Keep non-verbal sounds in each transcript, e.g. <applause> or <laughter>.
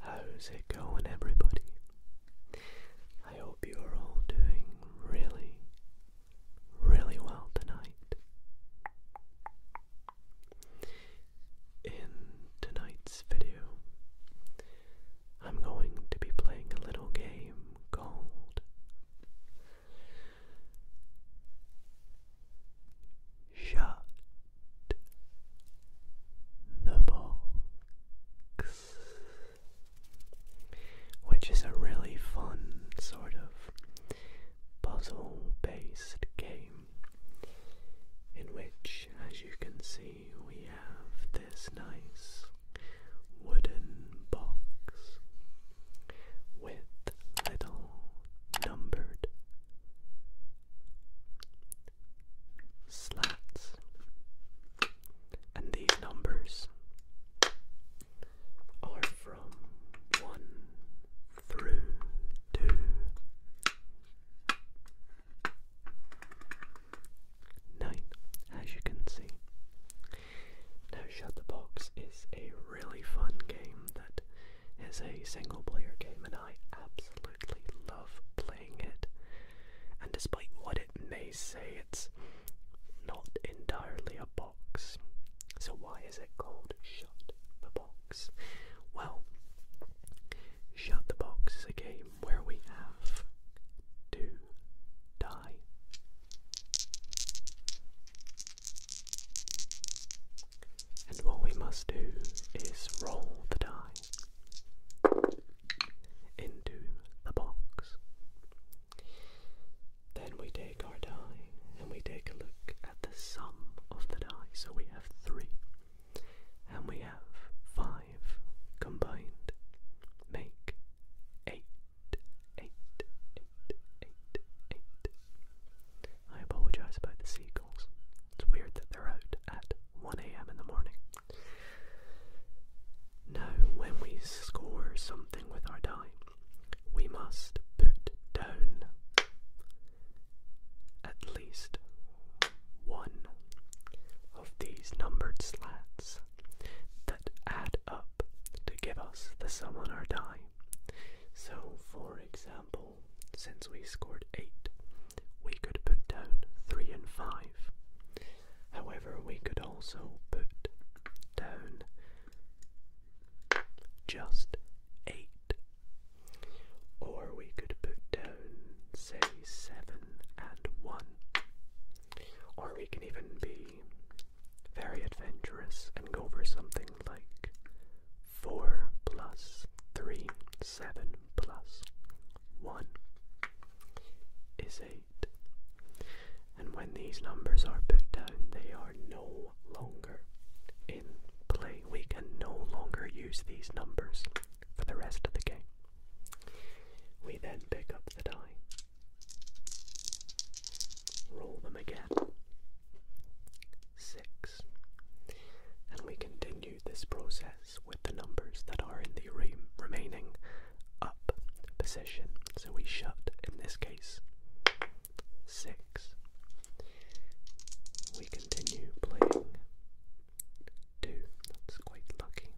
How's it going, everybody? I hope you are all doing really, really well tonight. In tonight's video, I'm going to be playing a little game called Shut the Box which is a really fun sort of puzzle based game in which, as you can see, we have this nice wooden box with little numbered slots And these numbers are from one through two. Nine, as you can see. Now, Shut the Box is a really fun game that is a single player game, and I absolutely love playing it. And despite what it may they say it's not entirely a box. So, why is it called Shut the Box? Well, Shut the Box is a game where we have to die. And what we must do is roll the die into the box. Then we take our die and we take a look at the sum of the die. So we have three and we have five combined. Make Eight. I apologize about the seagulls. It's weird that they're out at 1 a.m. in the morning. Now, when we score something with our die, we must put down at least one of these numbered slats that add up to give us the sum on our die. So, for example, since we scored 8, we could put down 3 and 5. However, we could also put down just 8, or we could put down, say, 7 and 1, or we can even be very adventurous and go for something like 4 plus 3, 7 plus 1 is eight. And when these numbers are put down, they are no longer in play. We can no longer use these numbers for the rest of the game. We then pick up the die, roll them again, six, and we continue this process with the numbers that are in the re remaining up position. So we shut, in this case, 6. We continue playing 2. That's quite lucky.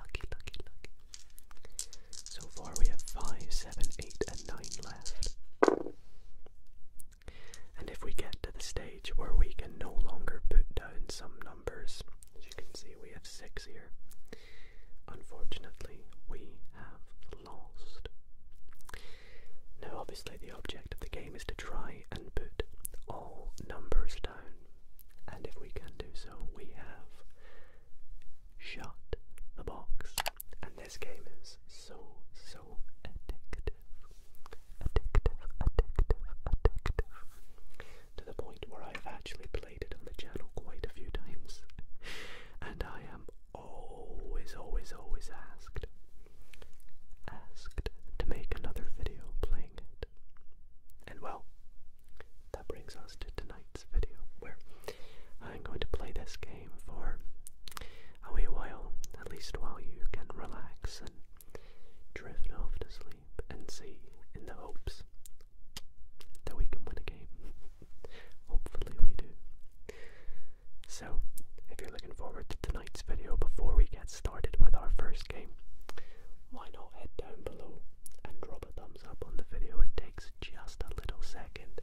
Lucky, lucky, lucky. So far we have five, seven, eight, and 9 left. And if we get to the stage where we can no longer put down some numbers, as you can see we have 6 here, unfortunately, we have lost. Now, obviously, the object of the game is to try and put all numbers down, and if we can do so, we have shut the box. And this game is so, so addictive. Addictive, addictive, addictive to the point where I've actually played it on the channel quite a few times. <laughs> And I am always, always, always asked, asked to make another video playing it. And well, that brings us to tonight's video where I'm going to play this game for a wee while, at least while you can relax and drift off to sleep and see in the hopes that we can win a game. Hopefully, we do. So, if you're looking forward to tonight's video before we get started with our first game, why not head down below and drop a thumbs up on the video? It takes just a little second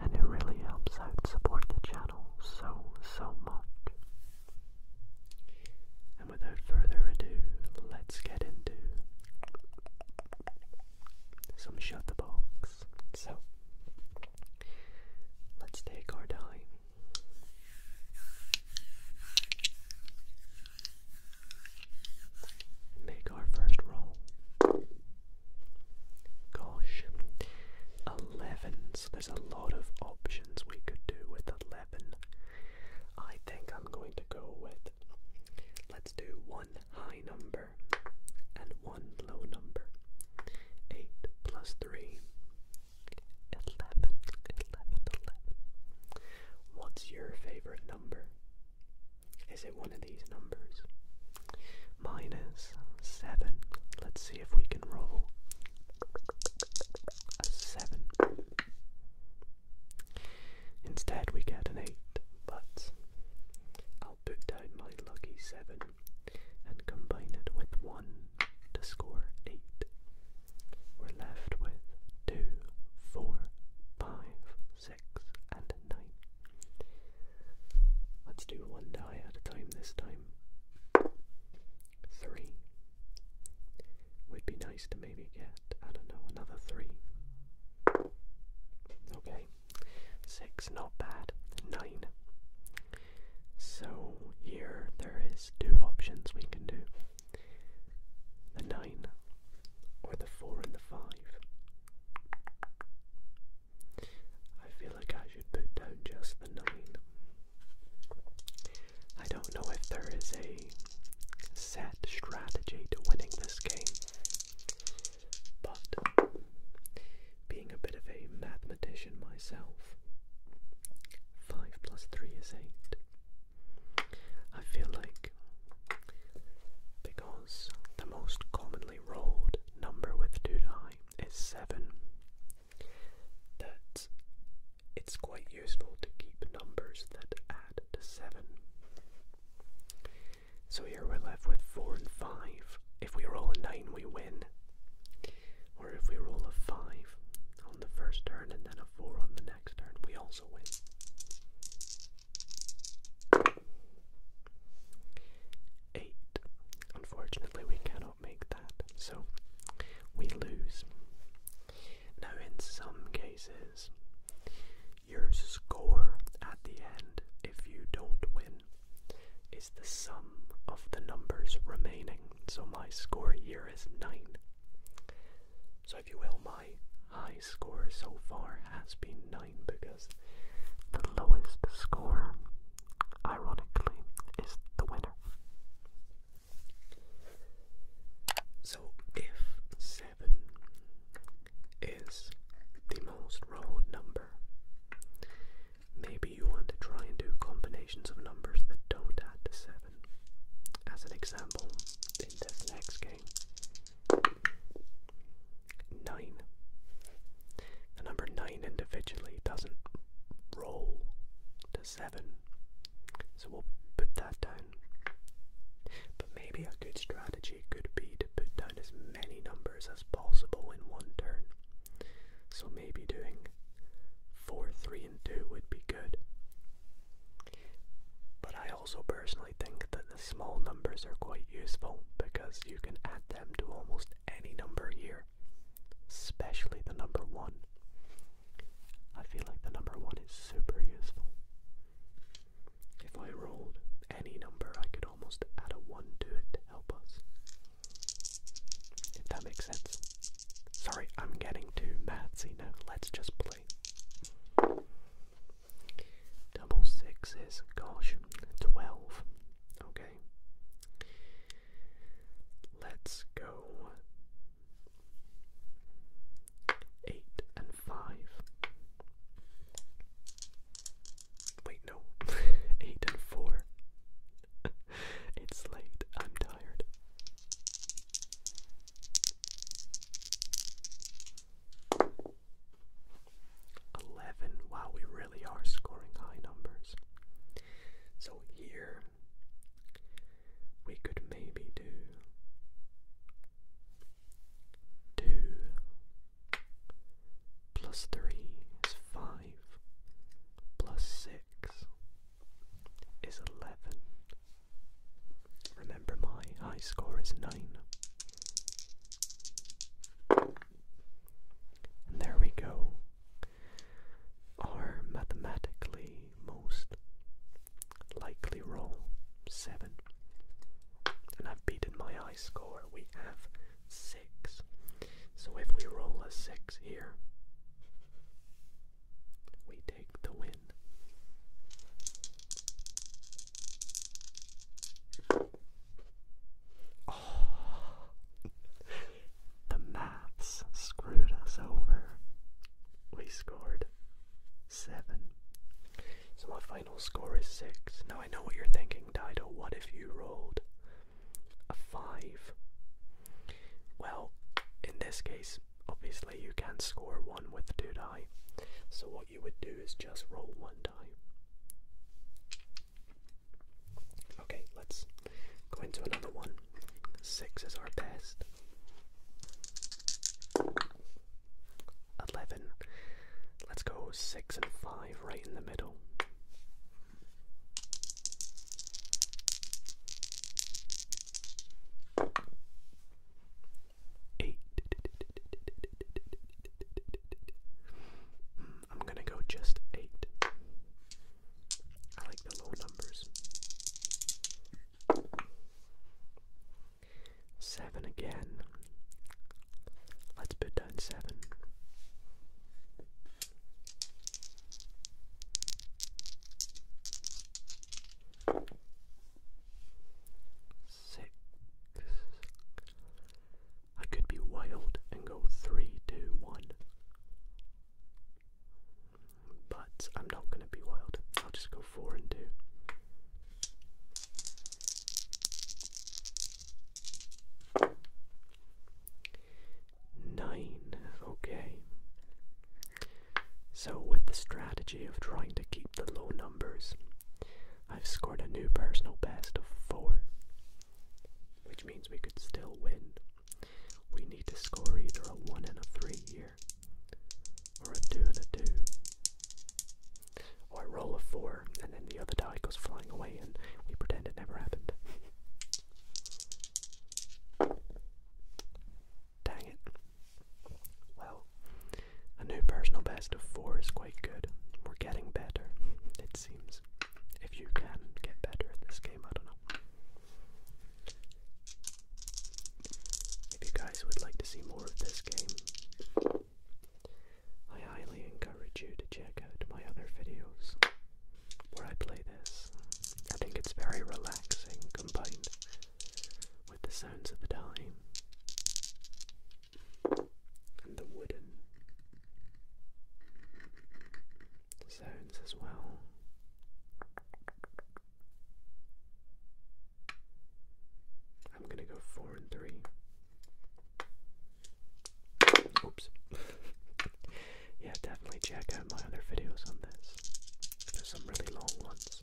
and it really helps out support the channel so, so much. And without further ado, let's get into some shut the box. So let's take our time. Make our first roll. Gosh, 11. So there's a lot of options we could do with 11. I think I'm going to go with Let's do one high number and one low number. 8 plus 3, 11, 11, 11. What's your favorite number? Is it one of these numbers? Minus 7. Let's see if we can roll a 7. Instead, we get an 8, but I'll put down my lucky 7 and combine it with 1 to score 8. We're left with 2, 4, 5, 6, and 9. Let's do one die at a time this time. 3. Would be nice to maybe get, I don't know, another 3. Okay, six, not bad. Nine. So here there is two options we can do the nine or the four and the five. I feel like I should put down just the nine. I don't know if there is a set strategy to winning this game, but being a bit of a mathematician myself, 5 plus 3 is 8. I feel like because the most commonly rolled number with Dudai is 7, that it's quite useful to keep numbers that add to 7. So here we're left with 4 and 5. If we roll a 9, we win. Or if we roll a 5 on the first turn and then a 4 on the next turn, we also win. 8. Unfortunately, we cannot make that, so we lose. Now, in some cases, your score at the end, if you don't win, is the sum of the numbers remaining. So my score here is 9. So, if you will, my high score so far has been 9 because the lowest score, ironically, is the winner. So, if 7 is the most rolled number. Maybe you want to try and do combinations of numbers that don't add to 7. As an example, in this next game, 9. The number 9 individually doesn't roll to 7, so we'll put that down. But maybe a good strategy strategy could be to put down as many numbers as possible in one turn. So maybe doing 4, 3 and 2 would be good. But I also personally think that the small numbers are quite useful because you can add them to almost any number here, especially the number 1. I feel like the number 1 is super useful. If I rolled any number, I could almost add a 1 to it to help us. If that makes sense. Sorry, I'm getting too mathsy now. Let's just play. Double six is, gosh, 12. Okay. Let's go. 8 and 5. Wait, no. <laughs> 8 and 4. <laughs> it's late. I'm tired. Eleven. Wow, we really are scoring high numbers. So here we could maybe do 2 plus 3 is 5 plus 6 is 11. Remember my high score is 9. And there we go. Our mathematically most likely roll 7. And I've beaten my high score, we have 6. So if we roll a 6 here, we take the win. Oh, the maths screwed us over. We scored seven. So my final score is 6. Now I know what you're thinking, Dido. What if you rolled a 5? Well, in this case, obviously you can score 1 with 2 die. So what you would do is just roll 1 die. Okay, let's go into another one. 6 is our best. 11. Let's go 6 and 5 right in the middle. Eight. Hmm, I'm going to go just 8. I like the low numbers. Seven again. Let's put down seven. Six. I could be wild and go three, two, one. But I'm not going to be wild. I'll just go four and two. Nine, okay. So, with the strategy of trying to keep the low numbers, I've scored a new personal best of four, which means we could still win. We need to score either a one and a three here, or a two and a two. Or oh, I roll a four, and then the other die goes flying away, and we pretend it never happened. Dang it. Well, a new personal best of four is quite good. We're getting better, it seems. If you can get better at this game, I don't know. If you guys would like to see more of this game, I highly encourage you to check out my other videos where I play this. I think it's very relaxing combined with the sounds of the time and the wooden sounds as well. I'm gonna go four and three. Oops. <laughs> yeah, definitely check out my other videos on this. There's some really long ones.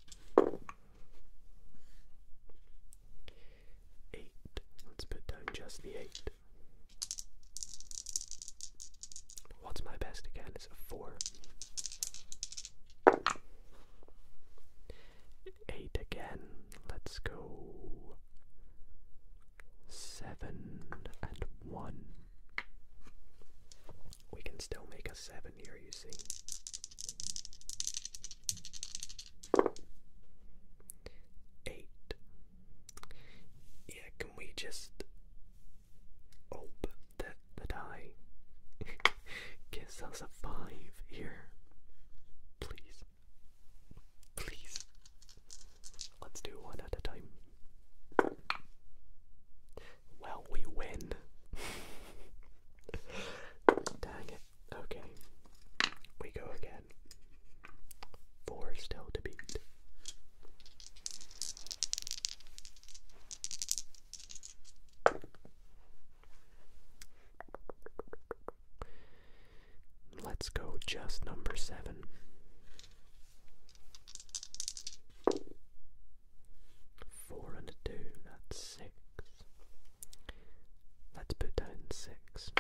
Eight. Let's put down just the eight. What's my best again? Is a four eight again. Let's go seven and one. We can still make a seven here, you see. Eight. Yeah, can we just open the, die? Gives us a five here. Please. Please. Let's do one at a time. Well, we win. <laughs> Dang it. Okay. We go again. Four still to beat. Let's go just number seven. Four and two, that's six. Let's put down six.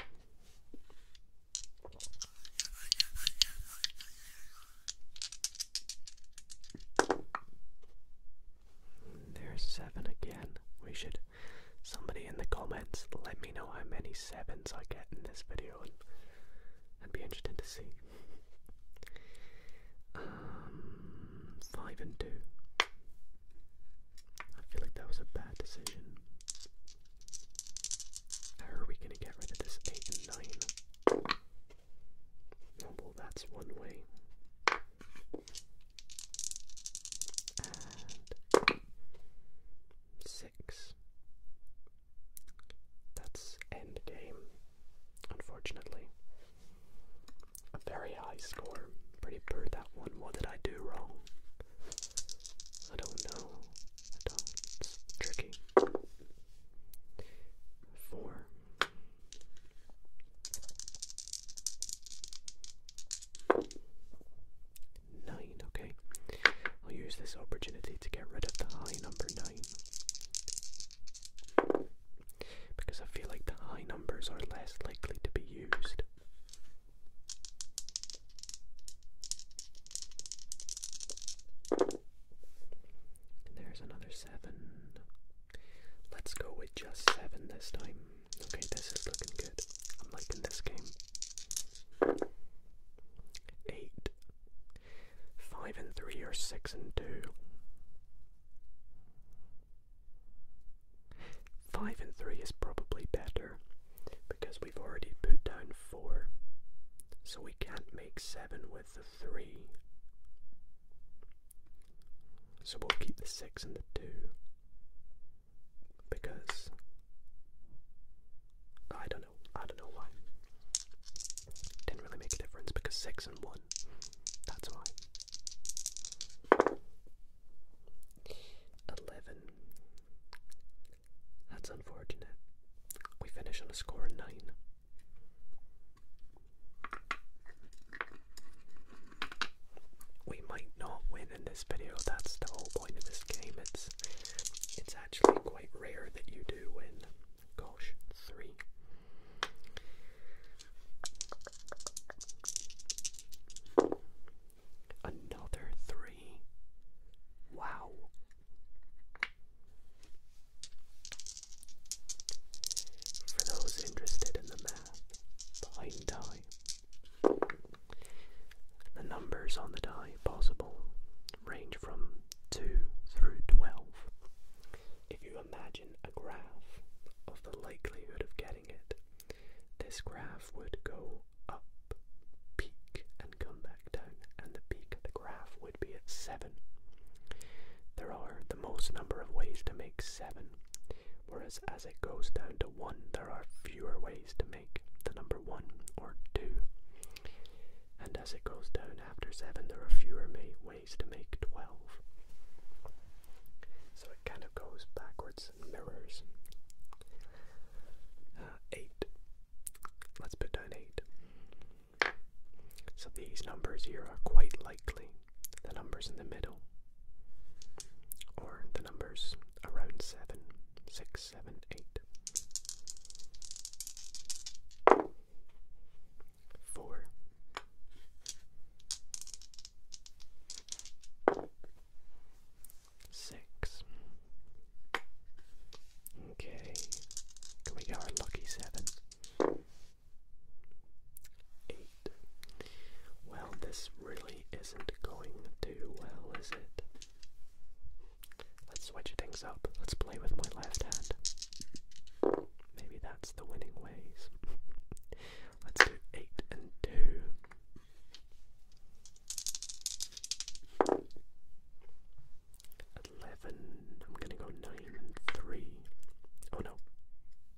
There's seven again. We should. Somebody in the comments, let me know how many sevens I get in this video, and would be interested to see. Um, five and two. I feel like that was a bad decision. How are we gonna get rid of this eight and nine? well, that's one way six. That's end game, unfortunately. A very high score. Pretty poor that one. What did I do wrong? I don't know. I don't. It's tricky. Four. Nine, okay. I'll use this opportunity to get rid of the high number nine. Because I feel like the high numbers are less likely to be used. There's another seven. Let's go with just seven this time. Okay, this is looking good. I'm liking this game. Eight. Five and three or six and two. Five and three is probably better because we've already put down four. So we can't make seven with the three. So we'll keep the 6 and the 2 because I don't know, I don't know why. Didn't really make a difference because 6 and 1, that's why. 11. That's unfortunate. We finish on a score of 9. We might not win in this video, that's the whole point of this game. It's it's actually quite rare that you do win. Gosh, three. Another three. Wow. For those interested in the plain die. The numbers on the die possible range from 2 through 12. If you imagine a graph of the likelihood of getting it, this graph would go up, peak, and come back down, and the peak of the graph would be at 7. There are the most number of ways to make 7, whereas as it goes down to 1 there are fewer ways to make the number 1 or 2. And as it goes down after 7 there are fewer ways to make 12. So it kind of goes backwards and mirrors. Uh, 8. Let's put down 8. So these numbers here are quite likely the numbers in the middle, or the numbers around 7, 6, Okay, can we get lucky 7? 8 well, this really isn't going too well, is it? Let's switch things up. Let's play with my left hand. Maybe that's the winning ways. <laughs> Let's do eight and two. Eleven. I'm gonna go nine and three. Oh no,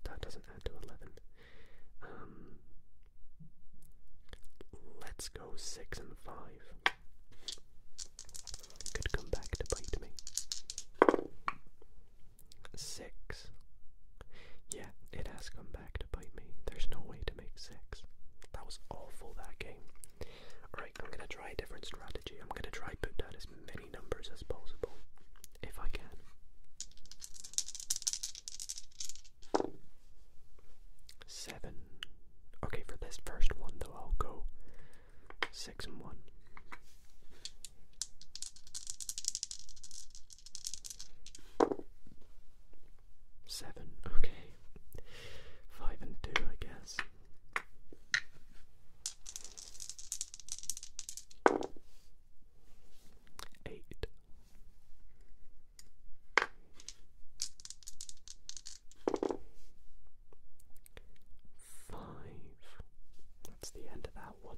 that doesn't add to eleven. Um, let's go six and five. Could come back to bite me. Six. Yeah, it has come back to bite me. There's no way to make six. That was awful, that game. Alright, I'm gonna try a different strategy. I'm gonna try put down as many numbers as possible if I can. Seven. Okay, for this first one though, I'll go six and one. Seven, okay. Five and two, I guess. Eight. Five. That's the end of that one.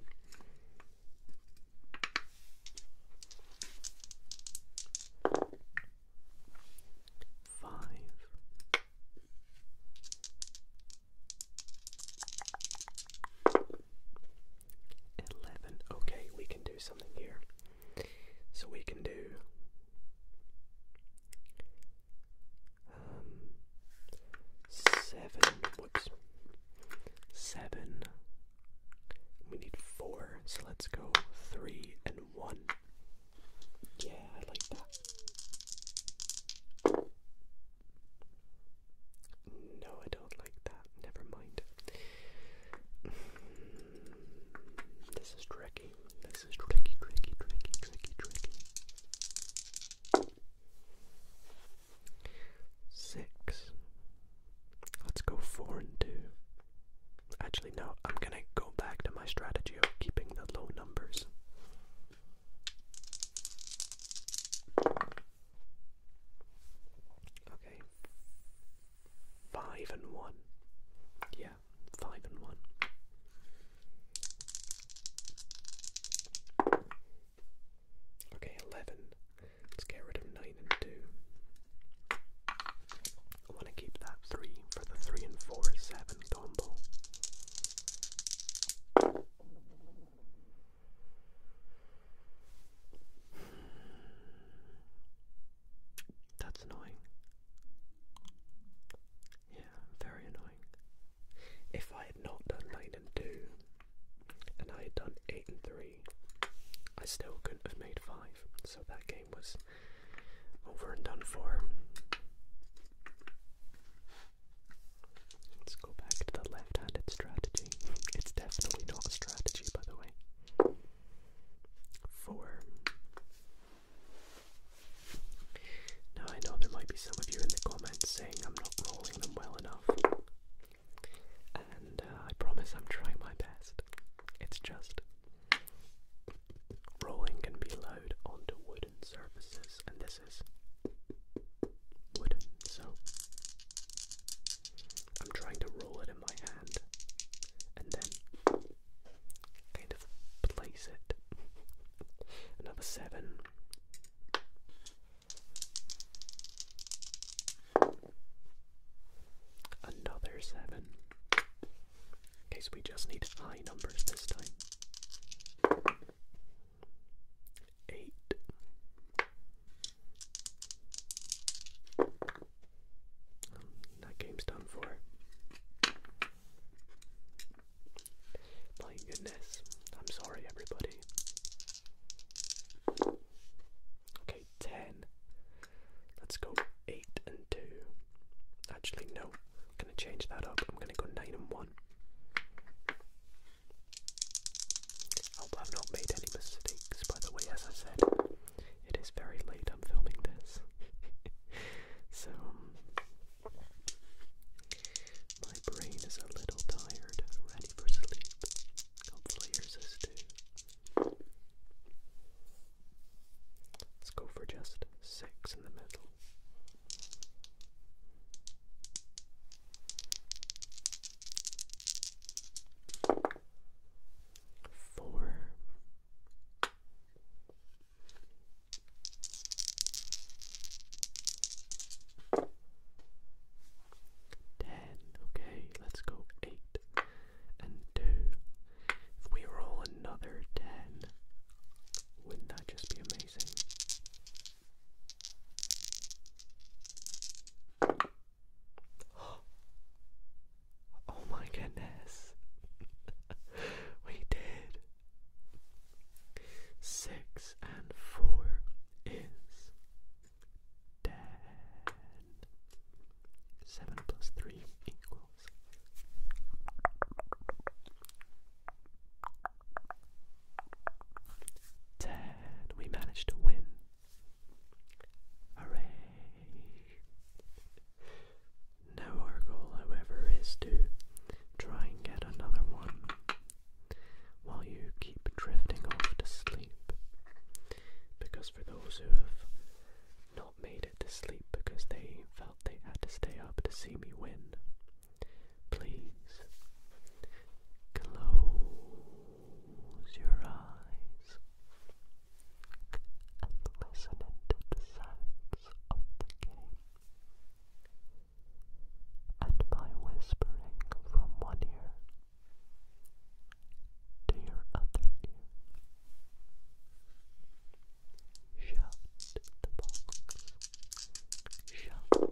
Five. 11. Okay, we can do something here. So we can do. Um, seven. Whoops. Seven. We need four, so let's go three and one. Yeah, I like that. No, I don't like that. Never mind. Mm, this is tricky. This is tricky, tricky, tricky, tricky, tricky. Six. Let's go four and two. Actually, no, I'm gonna go back to my strategy of keeping the low numbers. Okay. Five and one. Yeah, five and one. Okay, eleven. Let's get rid of nine and two. I want to keep that three for the three and four seven combo. That's annoying. Yeah, very annoying. If I had not done 9 and 2, and I had done 8 and 3, I still couldn't have made 5, so that game was over and done for. Let's go back to the left-handed strategy. It's definitely not a strategy, by the way. Four. Now I know there might be some of you in the comments saying I'm not rolling them well enough. And uh, I promise I'm trying my best. It's just rolling can be loud onto wooden surfaces, and this is wooden, so I'm trying to roll it in my hand and then kind of place it. Another seven. Another seven. Okay, so we just need high numbers this time eight. that game's done for. My goodness. I'm sorry, everybody. Okay, 10. Let's go 8 and 2. Actually, no. I'm going to change that up. I'm going to go 9 and 1. I Hope I've not made any mistakes, by the way, as I said, it is very late, I'm filming this. <laughs> so, um, my brain is a little tired, ready for sleep. Hopefully, yours is too. Let's go for just six in the middle four. Ten, okay, let's go eight and two. If we roll another ten, wouldn't that just be amazing? <gasps> Oh my goodness. <laughs> we did. Six and four is ten. Seven plus three equals. Ten. We managed to win now our goal, however, is to try and get another one while you keep drifting off to sleep. Because for those who have not made it to sleep because they felt they had to stay up to see me win, please close Close your eyes and listen to the sounds of the game and my whispering from one ear to your other ear. Shout the box. Shout the box.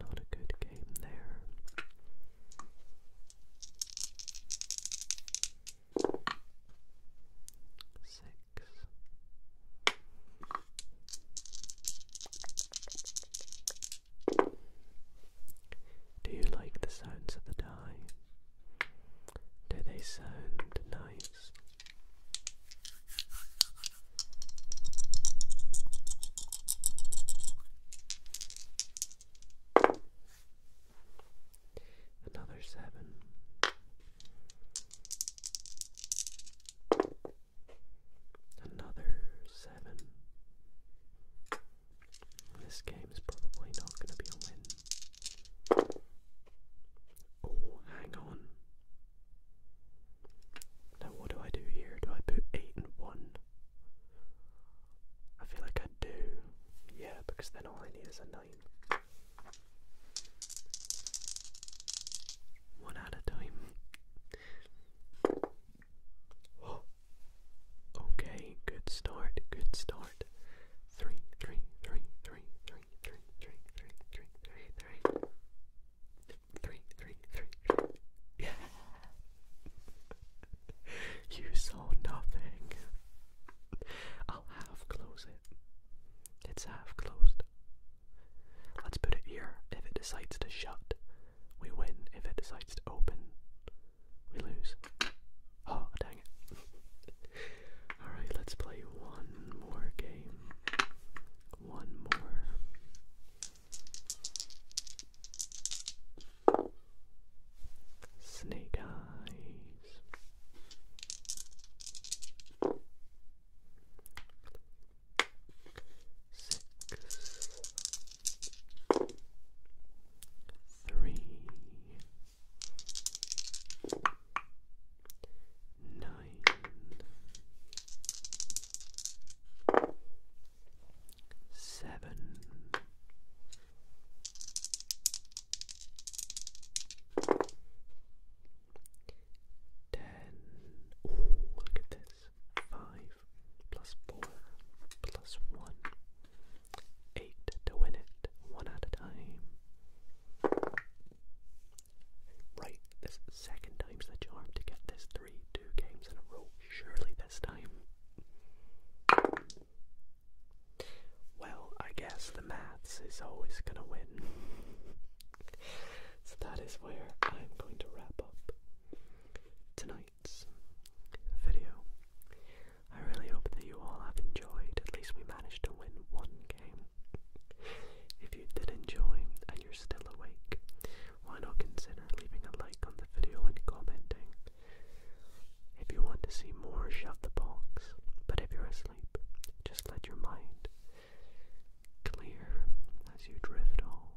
Not a good game there. Six. Do you like the sounds of the die? Do they sound nice? Another seven. Another seven. This game's probably not going to be a win. Oh, hang on. Now, what do I do here? Do I put eight and one? I feel like I do. Yeah, because then all I need is a nine one at a time. <gasps> Okay, good start, good start. Three, three, three, three, three, three, three, Yeah. <laughs> you saw nothing. I'll half close it. It's half closed. Let's put it here. If it decides to shut, we win. If it decides to open, we lose. Oh, dang it. <laughs> Alright, let's play one more game. One more. Snake eyes six, three, nine, seven ten. Ooh, look at this. Five plus four plus one. Eight to win it, one at a time. Right, this second time's the charm to get this three, two games in a row. Surely this time. Well, I guess the maths is always gonna win so that is where I'm going to wrap up tonight's video. I really hope that you all have enjoyed. At least we managed to win one game. If you did enjoy and you're still awake, why not consider leaving a like on the video and commenting? If you want to see more, shut the box. But if you're asleep, just let your mind clear as you drift off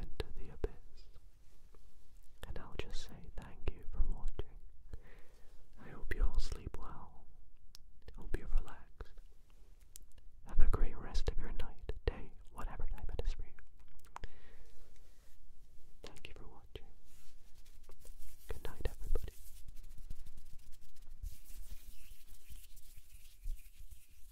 into the abyss. And I'll just say thank you for watching. I hope you all sleep well. Hope you're Have a great rest of your night, day, whatever time it is for you. Thank you for watching. Good night, everybody.